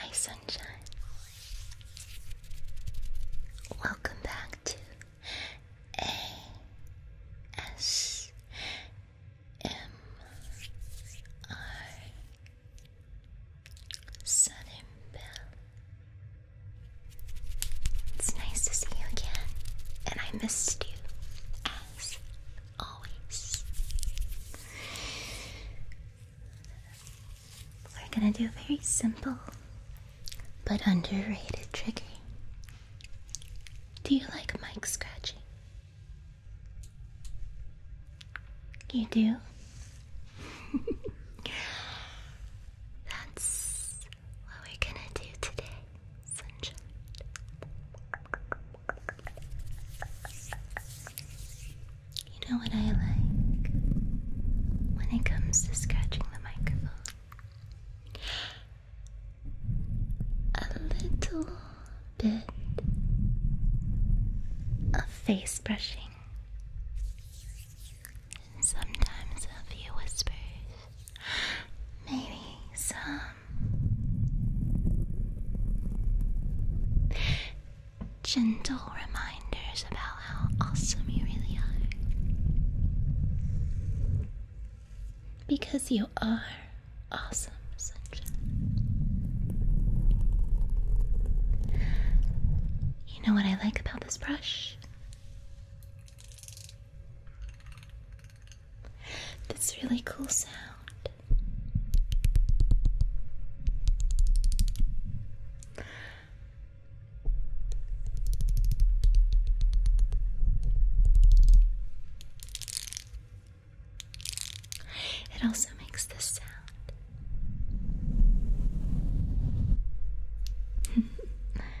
Hi, Sam. Welcome back to ASMR. Southern It's nice to see you again, and I missed you as always we're gonna do a very simple but underrated trigger. Do you like mic scratching? You do? That's what we're gonna do today, sunshine. You know what I like when it comes to scratching the microphone? A little bit of face brushing. and Sometimes a few whispers, maybe some gentle reminders about how awesome you really are. Because you are awesome, You know what I like about this brush? This really cool sound. It also makes this sound.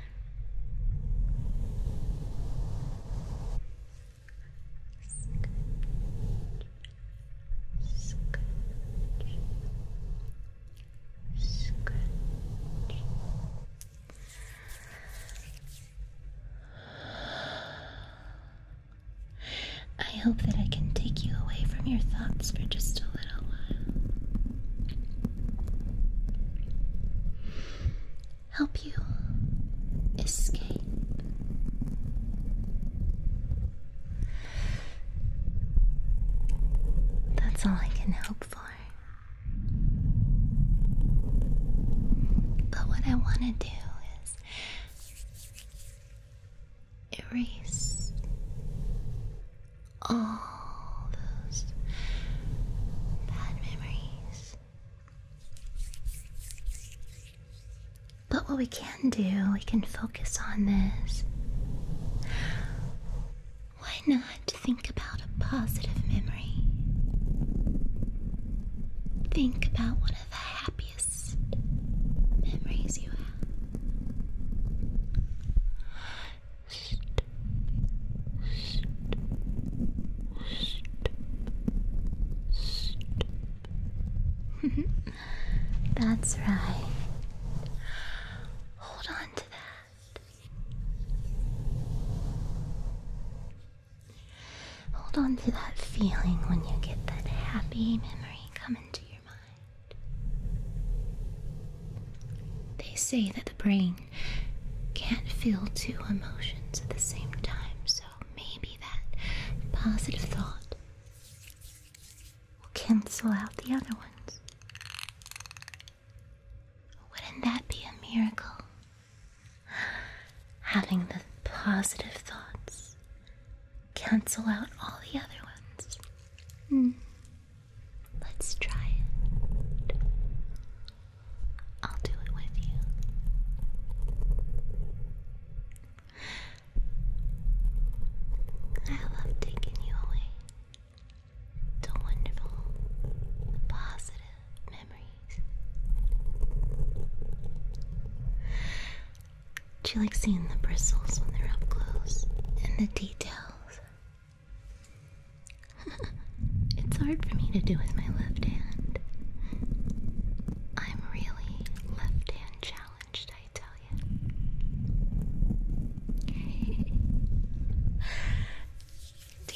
I hope that I can take you away from your thoughts for just a little while. Help you escape. That's all I can hope for. But what I want to do is erase all those bad memories. But what we can do, we can focus on this why not think about a positive memory? Think about one of the happiest memories you have. That's right. Hold on to that. Hold on to that feeling when you get that happy memory come into your mind. They say that the brain can't feel two emotions at the same time, so maybe that positive thought will cancel out the other ones. Wouldn't that be a miracle? Having the positive thoughts cancel out all the other ones. Hmm. Let's try it. I'll do it with you. I love taking you away to wonderful, positive memories. Do you like seeing the bristles when they're up close and the details? it's hard for me to do with my left hand. I'm really left hand challenged, I tell you. Do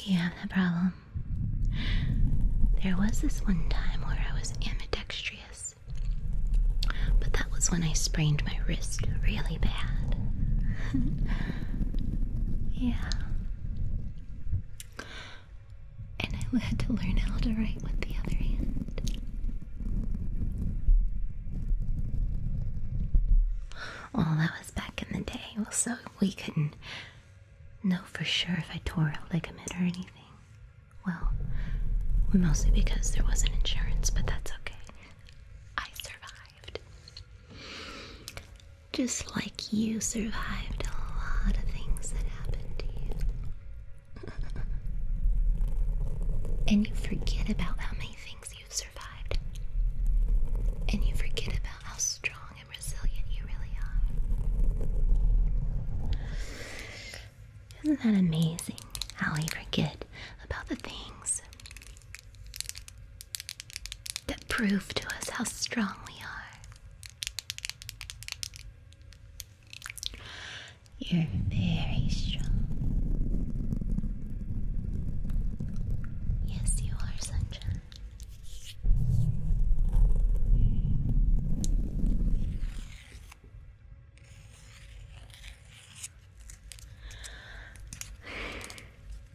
you have that problem? There was this one time where I was ambidextrous, but that was when I sprained my wrist really bad. yeah. And I had to learn how to write with the other hand. Well, that was back in the day, Well, so we couldn't know for sure if I tore a ligament or anything. Well, mostly because there wasn't insurance, but that's okay. I survived. Just like you survived a lot of things that happened to you. and you forget about how many things you've survived. And you forget about how strong and resilient you really are. Isn't that amazing how we forget about the things that prove to us how strong we are? You're very strong. Yes, you are, sunshine.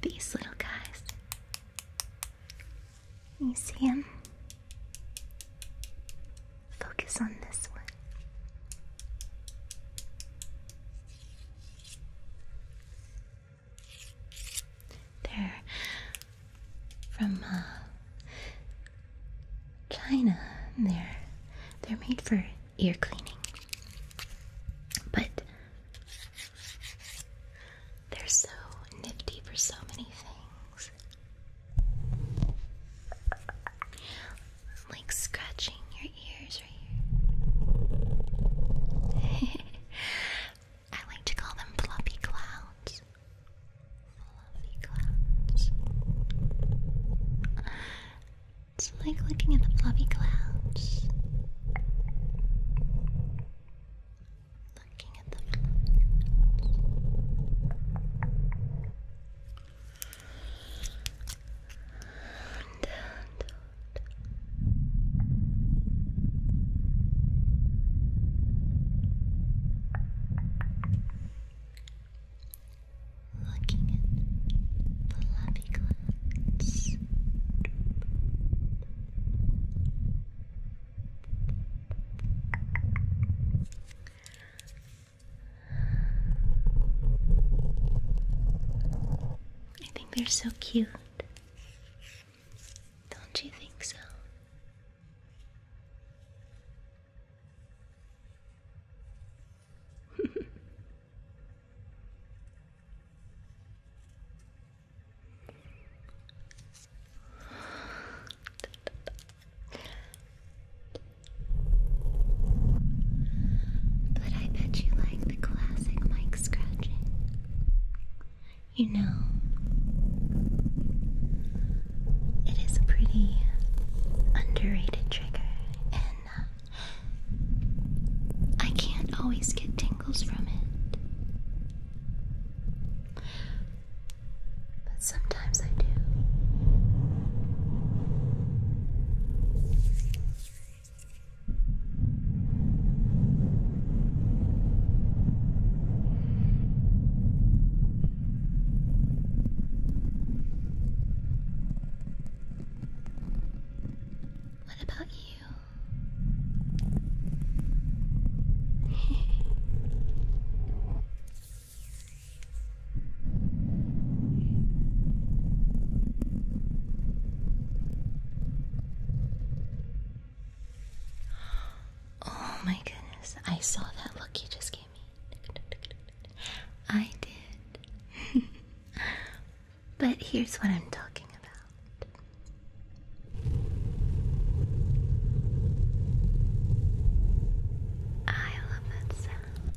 These little guys. You see him? Focus on this one. They're from uh, China. They're they're made for ear cleaning, but they're so nifty for so many things like scratching your ears right here. I like to call them fluffy clouds. Fluffy clouds. It's like looking at the fluffy clouds. Looking at the fluffy clouds. Down, Looking at the lovely clouds. Relaxing I think they're so cute. Don't you think so? but I bet you like classic mic scratching. You know, it is a pretty underrated trigger, and uh, I can't always get tingles from it. But sometimes I do. What about you? Oh my goodness, I saw that look you just gave me. I did. but here's what I'm talking about. I love that sound.